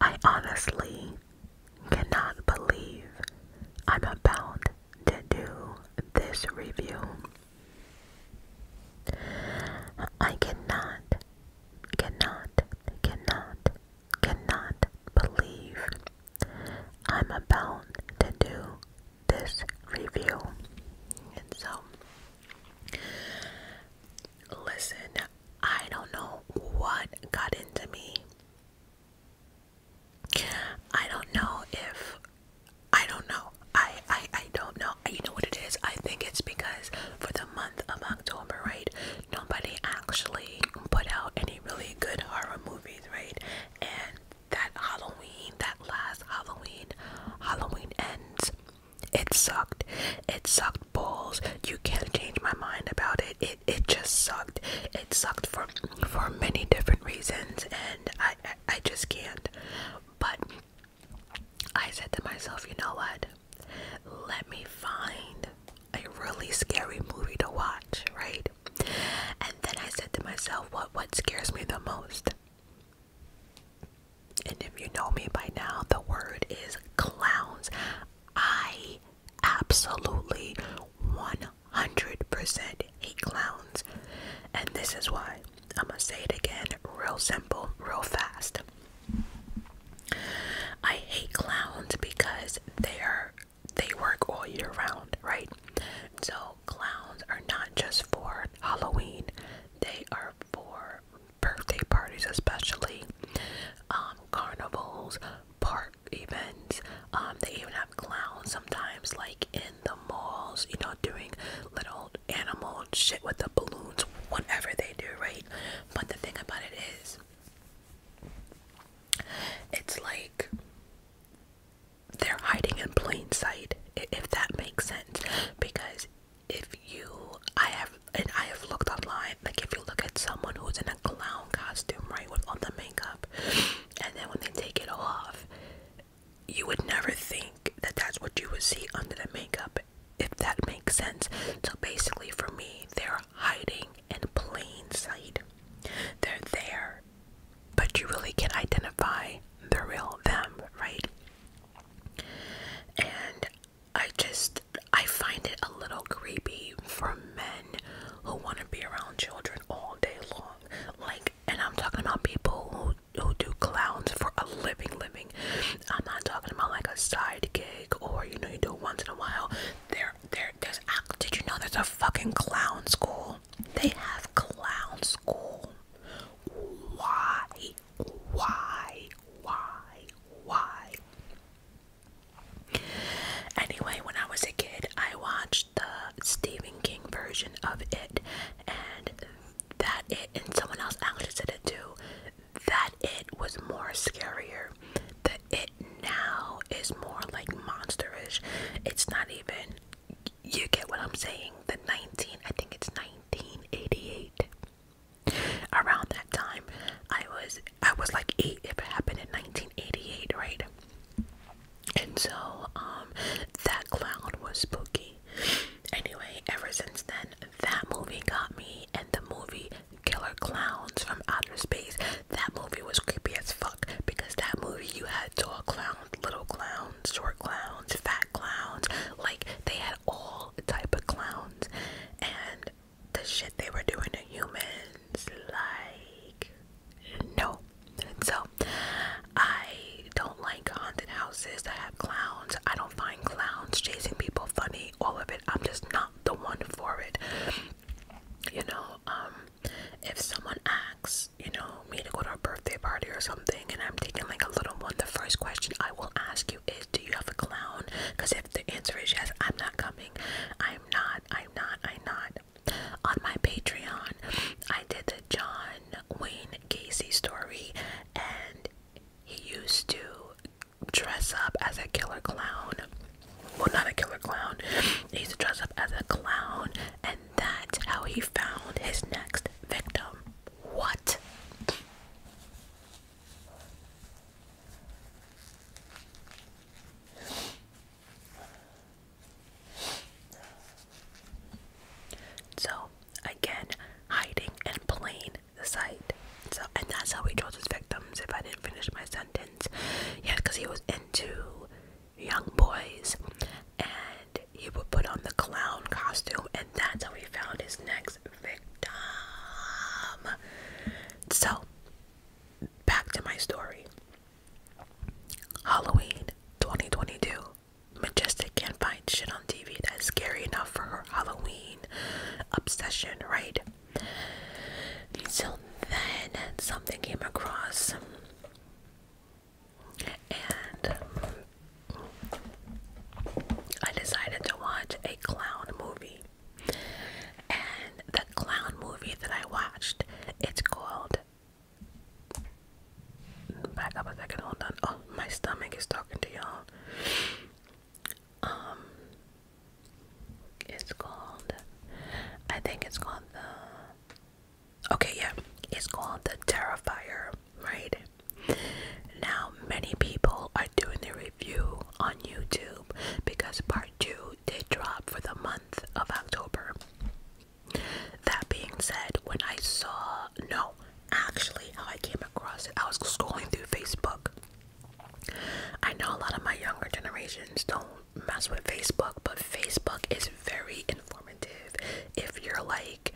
I honestly cannot believe I'm about to do this review. I cannot, cannot, cannot, cannot believe I'm about to do this review. And so, listen, I don't know what got into me. I don't know if I don't know. I, I I don't know. You know what it is? I think it's because for the month of October, right? Nobody actually put out any really good horror movies, right? And that Halloween, that last Halloween, Halloween ends. It sucked. It sucked balls. You can't change my mind about it. It it just sucked. It sucked for for many different reasons, and I I, just can't. But I said to myself, you know what? Let me find a really scary movie to watch, right? And then I said to myself, what what scares me the most? And if you know me by now, the word is clowns. I absolutely 100% hate clowns. And this is why. I'm going to say it again, real simple, real fast. I hate clowns because they are they work all year round, right? So clowns are not just for Halloween, they are for birthday parties, especially um, carnivals, park events. Um, they even have clowns sometimes, like in the malls, you know, doing little animal shit with the balloons, whatever they do, right? But the thing about it is, it's like they're hiding in plain sight, if that makes sense. Because if you, I have, and I have looked online, like if you look at someone who's in a clown costume, right, with all the makeup, and then when they take it off, you would never think that that's what you would see under the makeup, if that makes sense. So basically, for me, they're hiding in plain sight. They're there but you really can identify the real them, right? And I just I find it a little creepy for men who want to be around children all day long. Like, and I'm talking about people who who do clowns for a living, living. I'm not talking about like a side gig or you know you do it once in a while. There, there, there's. Did you know there's a fucking clown school? They have clown school. Why? Why? Why? Why? Anyway, when I was a kid, I watched the Stephen King version of it, and that it, and someone else actually said it too, that it was more scarier. The it now is more like monsterish. It's not even you get what I'm saying. The 19, I think it's 1988. Around that time, I was I was like 8 if it happened in 1988, right? And so um, that clown was spooky. Anyway, ever since then that movie got me and the movie Killer Clowns from Outer Space that movie was creepy as fuck because that movie you had tall clowns, little clowns, short clowns, fat clowns. Like they had all type of clowns, and the shit they were doing to humans, like no. So I don't like haunted houses that have clowns. I don't find clowns chasing people funny. All of it. I'm just not the one for it. You know, um, if someone asks, you know, me to go to a birthday party or something, and I'm taking like a little one, the first question I will ask you is, do you have a clown? Because if the answer is yes, I'm not coming. I'm not. I'm not. I'm not. On my Patreon, I did the John Wayne Casey story, and he used to dress up as a killer clown well not a killer clown he used to dress up as a clown and that's how he found his next victim what so again hiding in plain sight so and that's how he chose his victims if i didn't finish my sentence yeah because he was in Two young boys and he would put on the clown costume and that's how he found his next victim so back to my story halloween 2022 majestic can't find shit on tv that's scary enough for her halloween obsession right until then something came across, and I decided to watch a clown movie. And the clown movie that I watched, it's called. Back up a second, hold on. Oh, my stomach is talking to y'all. Um, it's called, I think it's called the, okay, yeah, it's called the Terrifier, right? Now, many people are doing the review on YouTube because part two did drop for the month of October. That being said, when I saw, no, actually, how I came across it, I was scrolling through Facebook. I know a lot of my younger generations don't mess with Facebook, but Facebook is very informative if you're like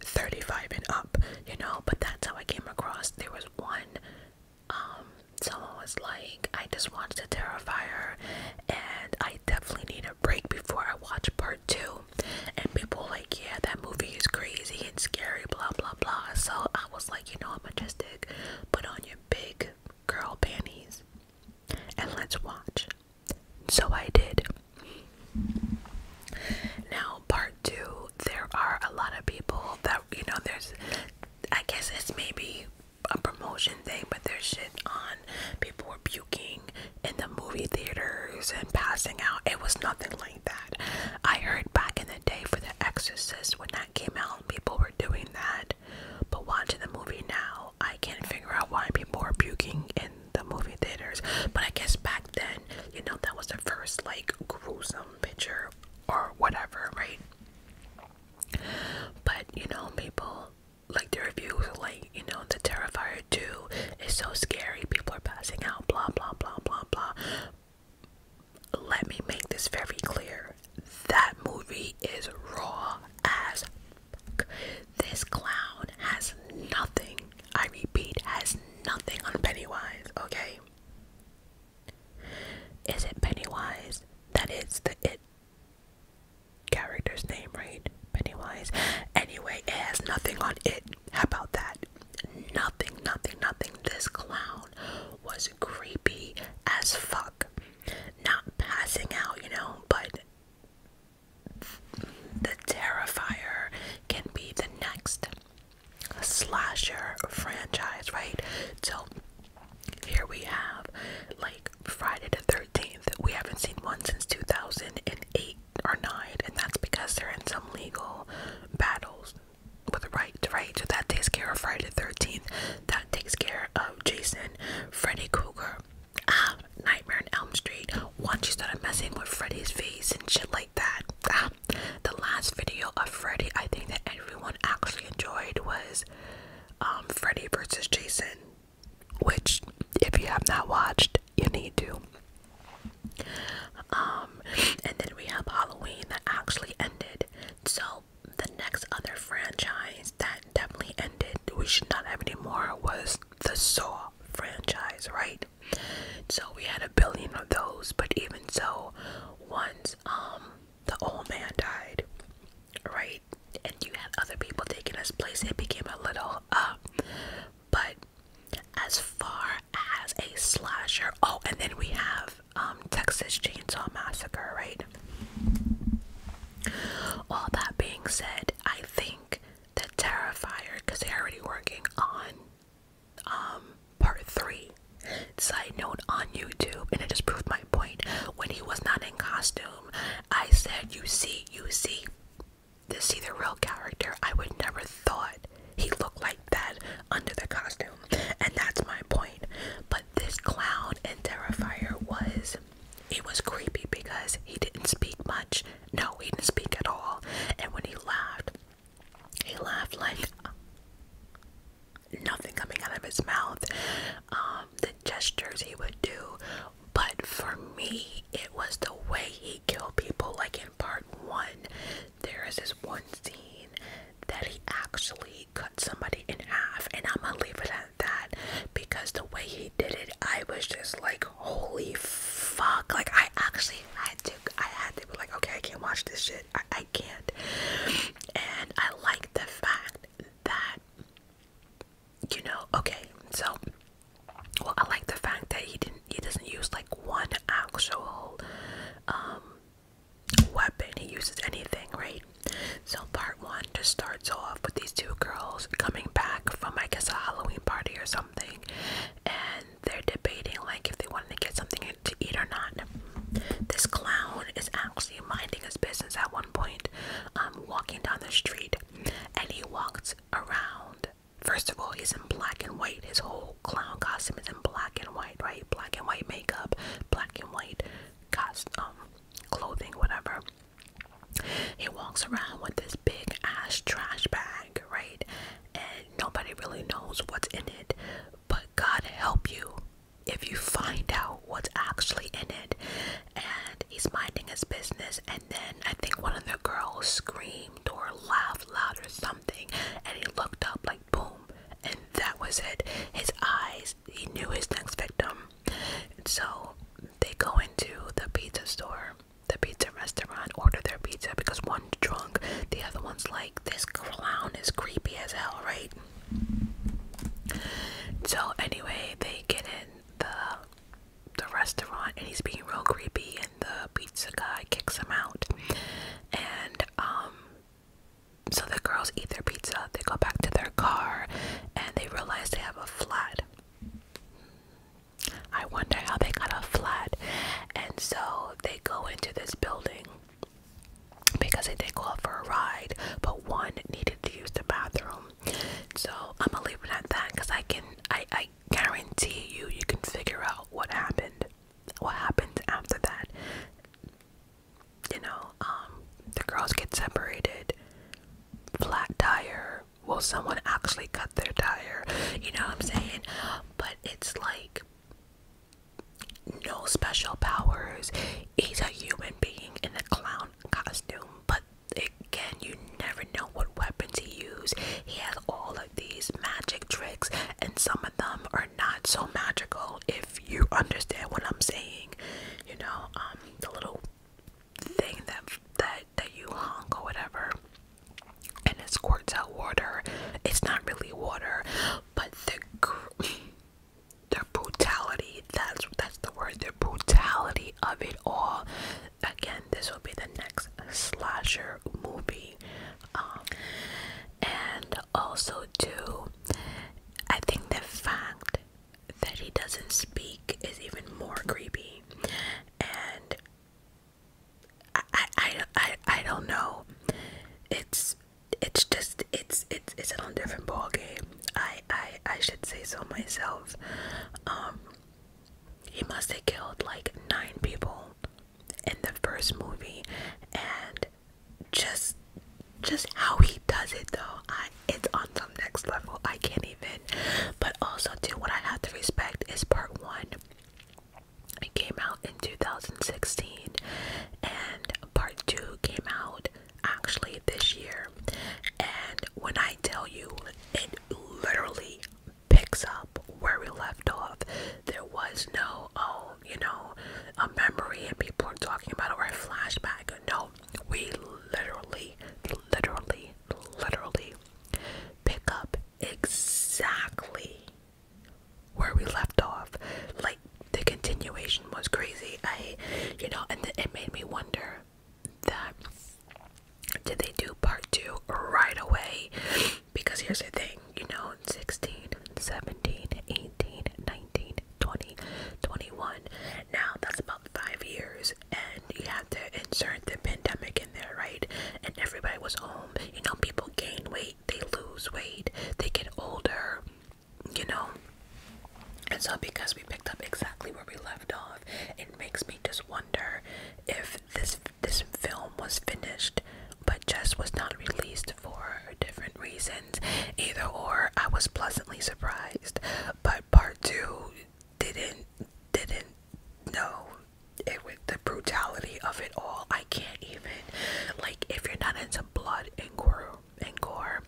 35 and up, you know. But that's how I came across. There was one, um, someone was like, I just watched The Terrifier, and I definitely need a break before I watch part two. And people like, yeah, that movie is crazy and scary, blah blah blah. So I was like, you know, I'm majestic. put on your big girl panties and let's watch. So I did. Now, part two, there are a lot of people that, you know, there's, I guess it's maybe a promotion thing, but there's shit on. People were puking in the movie theaters and passing out. It was nothing like that. I heard back in the day for The Exorcist when that came out people were doing that, but watching the movie now, I can't figure out why people are puking in the movie theaters. But I guess back then, you know, that was the first like gruesome picture or whatever, right? But you know, people like the reviews, like you know, the Terrifier 2 is so scary, people are passing out, blah blah blah blah blah let me make this very clear. That movie is raw as fuck. This clown has nothing, I repeat, has nothing on Pennywise, okay? Is it Pennywise? That is the it character's name, right? Pennywise. Anyway, it has nothing on it. How about that? Nothing, nothing, nothing. This clown was creepy as fuck. Not passing out, you know, but the Terrifier can be the next slasher franchise, right? So here we have like Friday the 13th. We haven't seen one since 2008 or 9, and that's because they're in some legal battles with right, right. that takes care of Friday 13th. That takes care of Jason, Freddy Krueger, Nightmare on Elm Street. Once you started messing with Freddy's face and shit like that. Ah, the last video of Freddy I think that everyone actually enjoyed was um, Freddy versus Jason, which if you have not watched, you need to. Um, and then we have Halloween that actually ended so the next other franchise that definitely ended, we should not have anymore, was the Saw franchise, right? So we had a billion of those, but even so, once um the old man died, right? And you had other people taking his place, it became a little uh but as far as a slasher, oh, and then we have um, Texas Chainsaw Massacre, right? All that being said, I think they're terrified because they're already working on um, part three. Side note on YouTube, and it just proved my point. When he was not in costume, I said, "You see, you see, to see the real character." I would never thought he looked like that under the costume, and that's my point. But this clown and Terrifier was it was creepy because he didn't speak much. No, he didn't speak at all. And when he laughed, he laughed like nothing coming out of his mouth. Um, the gestures he would do. But for me, it was the way he killed people, like in part one there is this one scene that he actually cut somebody in half, and I'm gonna leave it at that because the way he did it, I was just like, holy fuck! Like I actually had to, I had to be like, okay, I can't watch this shit. I can't. And I like the fact that you know, okay, so well, I like the fact that he didn't, he doesn't use like one actual um, weapon he uses anything right so part one just starts off with these two girls coming back from i guess a halloween party or something and they're debating like if they wanted to get something to eat or not this clown is actually minding his business at one point um, walking down the street and he walks around First of all, he's in black and white. His whole clown costume is in black and white, right? Black and white makeup, black and white costume, clothing, whatever. He walks around with this big ass trash bag, right? And nobody really knows what's in it. But God help you if you find out what's actually in it. And he's minding his business and then I think one of the girls screams laughed loud or something, and he looked up like boom, and that was it. His eyes, he knew his next victim. So they go into the pizza store, the pizza restaurant, order their pizza because one drunk, the other one's like, This clown is creepy as hell, right? So anyway, they get in the the restaurant and he's being real creepy and the pizza guy kicks them out. And um, so the girls eat their pizza, they go back to their car and they realize they have a flat. I wonder how they got a flat. And so they go into this building because they did go out for a ride, but one needed to use the bathroom. So I'm gonna leave it at that because I can I guarantee you, you can figure out what happened, what happened after that. You know, um, the girls get separated, flat tire. Will someone actually cut their tire? You know what I'm saying? But it's like no special powers. He's a human being in a clown costume, but again, you never know what weapons he used. He has all these magic tricks, and some of them are not so magical if you understand what I'm saying. You know, um, the little thing that that that you hung or whatever and it squirts out water. It's not really water, but the the brutality that's that's the word the brutality of it all. Again, this will be the next slasher movie um, and also too i think the fact that he doesn't speak is even more creepy and i i i, I don't know it's it's just it's it's it's a different ball game i i i should say so myself um he must have killed like nine people in the first movie and just just how he does it though I it's on some next level I can't even but also too what I have to respect is part one it came out in 2016 and part two came out actually this year and when I tell you it literally picks up where we left off. There was no, oh, you know, a memory and people are talking about it or a flashback. No, we literally, literally, literally pick up exactly where we left off. Like the continuation was crazy. I, you know, and it made me wonder that did they do part two right away? Because here's the thing, you know, 16, 17, 18, 19, 20, 21. Now that's about five years, and you have to insert the pandemic in there, right? And everybody was home. You know, people gain weight, they lose weight, they get older, you know. And so, because we picked up exactly where we left off, it makes me. I just wonder if this this film was finished but just was not released for different reasons. Either or, I was pleasantly surprised, but part two didn't didn't know it with the brutality of it all. I can't even like if you're not into blood and gore and gore,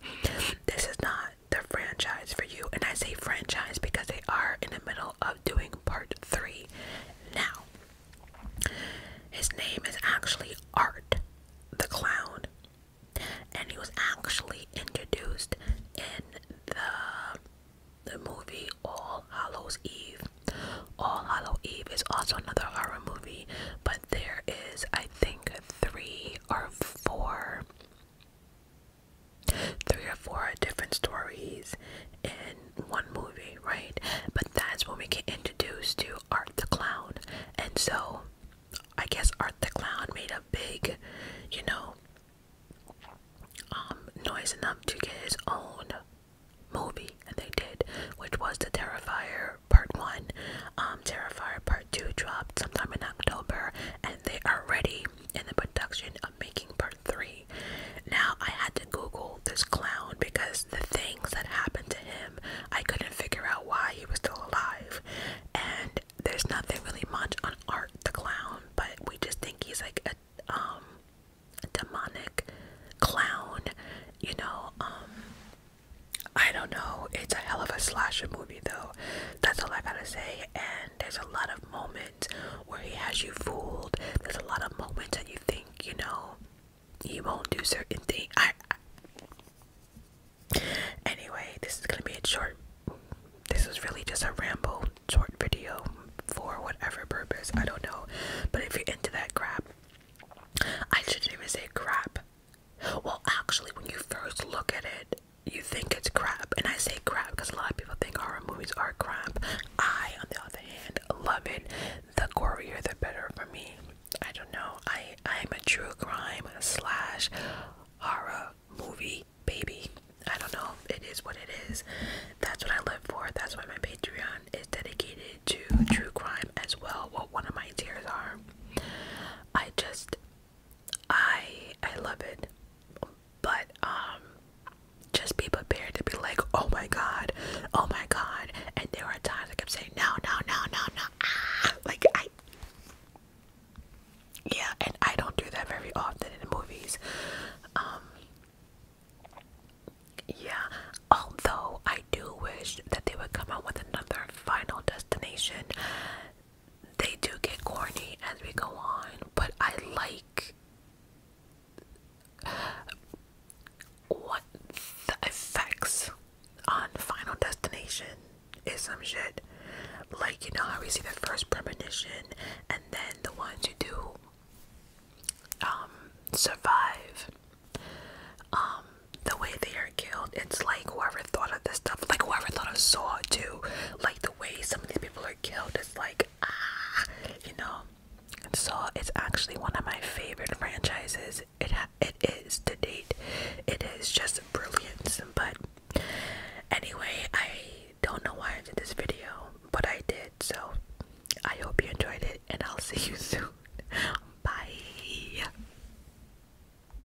this is not the franchise for you. And I say franchise because they are in the middle of doing part three now. His name is actually Art the Clown, and he was actually introduced in the, the movie All Hallows Eve. All Hallow Eve is also another horror movie, but there is, I think, three or four three or four different stories in one movie, right? But that's when we get introduced to Art the Clown. And so I guess Art the Clown made a big, you know, um, noise enough to get his own movie, and they did, which was The Terrifier Part 1. Um, Terrifier Part 2 dropped sometime in October, and they are ready in the production of making part three. Now I had to Google this clown because the things that happened to him, I couldn't figure out why he was still alive. And there's nothing really much on Art the Clown, but we just think he's like a um, demonic clown, you know, um, I don't know. It's a hell of a slasher movie though. That's all I gotta say. And there's a lot of moments where he has you fooled. There's a lot of moments that you think, you know, he won't do certain things. I, I... Anyway, this is gonna be a short. This is really just a ramble, short video for whatever purpose. I don't know, but if you're into that crap, I shouldn't even say crap. Well, actually, when you first look at it, you think it's crap, and I say crap because a lot of people think horror movies are crap. I, on the other hand, love it. The gorier, the better for me. I don't know. I I'm a true crime slash horror movie baby. I don't know. It is what it is. That's what I live for. That's why my Patreon is dedicated to true crime as well. What one of my tears are. I just I I love it. But um just be prepared to be like, oh my god, oh my god. And there were times I kept saying, no, no, no, no, no. Ah. Like I Yeah, and I don't do that very often in movies. Um yeah, although I do wish that they would come out with another final destination they do get corny as we go on, but I like what the effects on Final Destination is some shit. Like, you know how we see the first premonition and then the ones who do um survive um the way they are killed it's like whoever whoever thought of this stuff, like whoever thought of Saw too, like the way some of these people are killed is like ah, you know. Saw is actually one of my favorite franchises. It it is to date. It is just brilliant. But anyway, I don't know why I did this video, but I did. So I hope you enjoyed it, and I'll see you soon. Bye.